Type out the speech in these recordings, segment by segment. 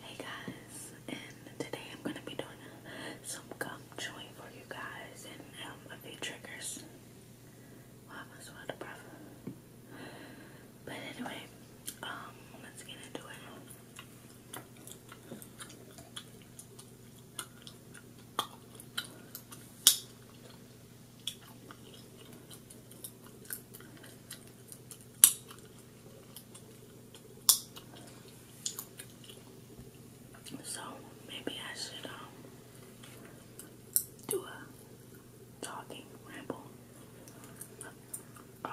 Hey guys, and today I'm gonna be doing some gum chewing for you guys and um, a few triggers. Wow, I was out to breath. But anyway, um, let's get into it. So maybe I should um do a talking ramble. Um,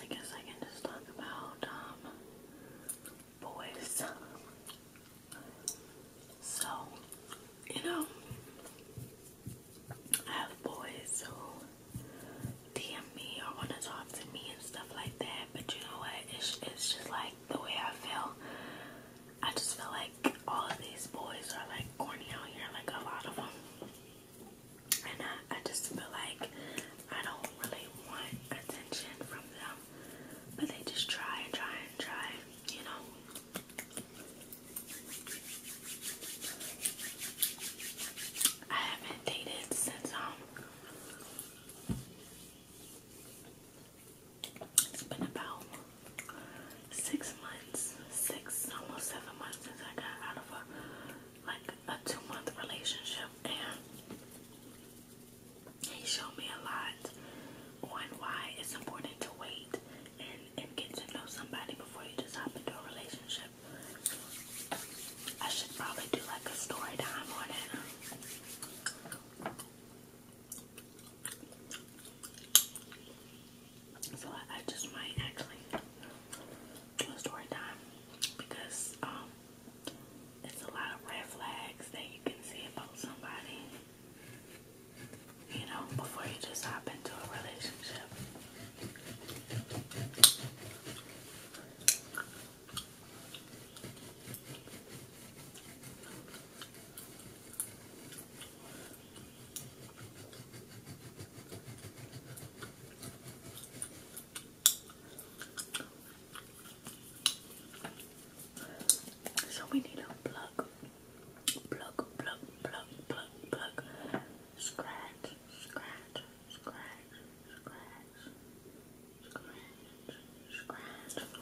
I guess I can just talk about um, boys. So, you know, I have boys who DM me or want to talk to me and stuff like that. But you know what? It's, it's just like the way I feel. I just feel like all of these boys are like corny out here, like a lot of them and I, I just feel like I don't really want attention from them, but they just try and try and try, you know. I haven't dated since um it's been about six months, six almost seven months since I got out of a like a two month relationship and he showed me a lot on why it's important to wait and, and get to know somebody before you just hop into a relationship. I should probably do like a story time on So I just might actually do a story time because um it's a lot of red flags that you can see about somebody. You know, before you just hop into a relationship. So we need a plug, plug, plug, plug, plug, plug, scratch, scratch, scratch, scratch, scratch, scratch.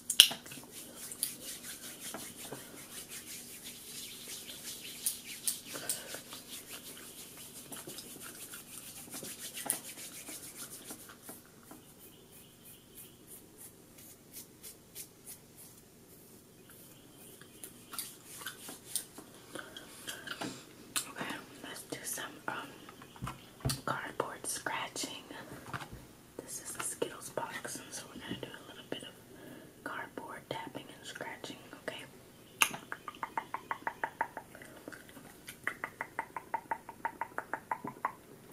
Okay, let's do some um, cardboard scratching. This is a Skittles box, so we're going to do a little bit of cardboard tapping and scratching, okay?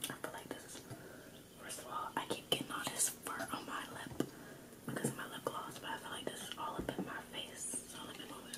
I feel like this first of all, I keep getting all this fur on my lip because of my lip gloss, but I feel like this all up in my face, so let me move it.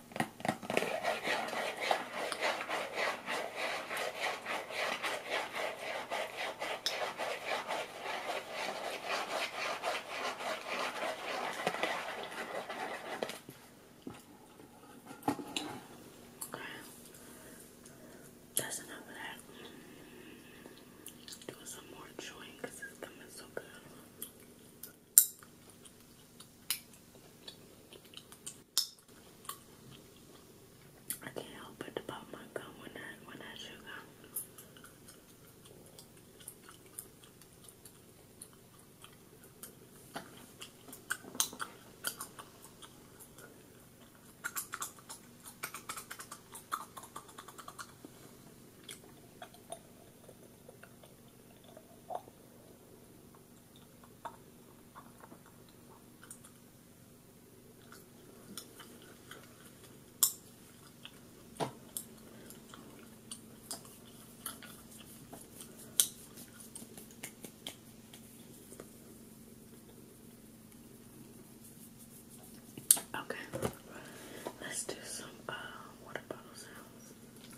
Okay. That's enough of that. Do some more chewing it's coming so good. I can't help but to pop my gum when I when I chew gum. Okay, let's do some uh, water bottle sounds.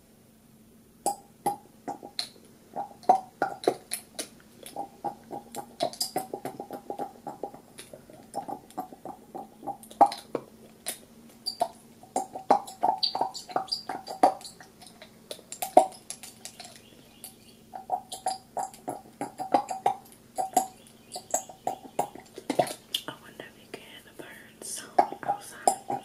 I wonder if you can burn some outside.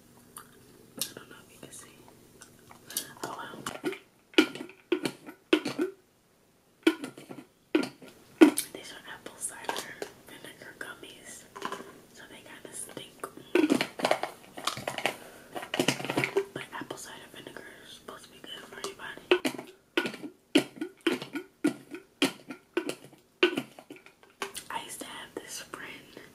These are apple cider vinegar gummies. So they kind of stink. But apple cider vinegar is supposed to be good for anybody. I used to have this friend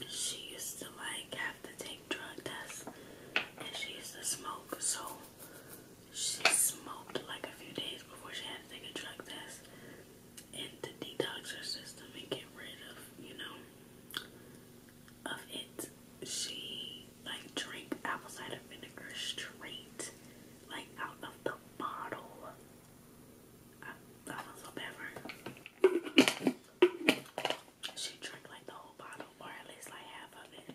and she used to like have to take drug tests and she used to smoke. So she smoked like a few days before she had to take a drug test and to detox her system and get rid of, you know, of it. She like drank apple cider vinegar straight, like out of the bottle. I, I so bad for her. She drank like the whole bottle, or at least like half of it.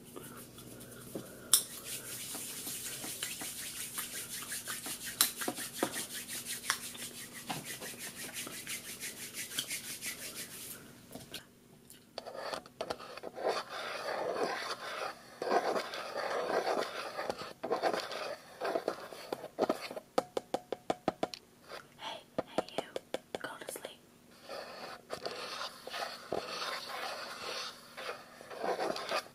Hey, hey you, go to sleep.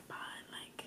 tripod, like I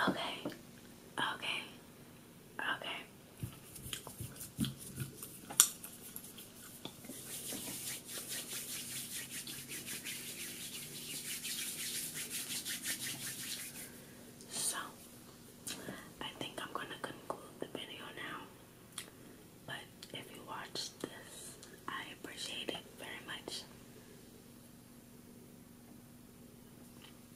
Okay, okay, okay. So I think I'm gonna conclude the video now. But if you watched this, I appreciate it very much.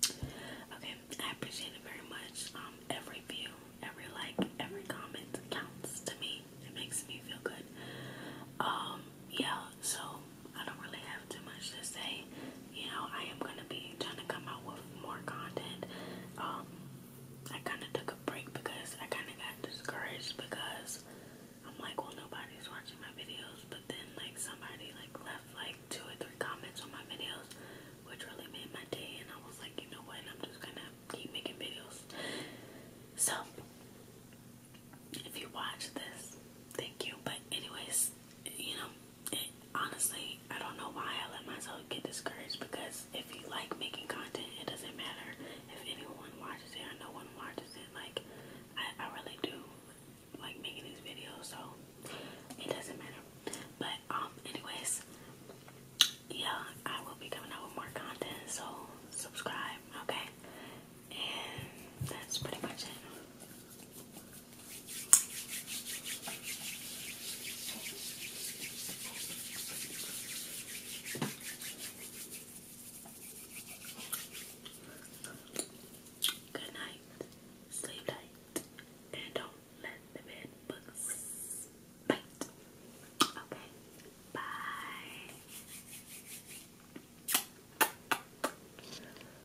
Okay, I appreciate it very much. Um, every view, every like, every comment counts to me. It makes me feel good. Um, yeah, so I don't really have too much to say. You know, I am gonna be trying to come out with more content. Um, I kind of took a break because I kind of got discouraged because I'm like, well, nobody's watching my videos. But then, like, somebody like left like two or three comments on my videos, which really made my day. And I was like, you know what? I'm just gonna keep making videos. So, if you watch this, thank you. But anyways, you know, honestly, I don't know why I let myself get discouraged because if you like making content, it doesn't matter if anyone watches it or no one watches it. Like, I, really do like making these videos, so it doesn't matter. But, um, anyways, yeah, I will be coming out with more content, so subscribe, okay? And that's pretty much it. Good night, sleep tight, and don't let the bed bugs bite. Okay, bye.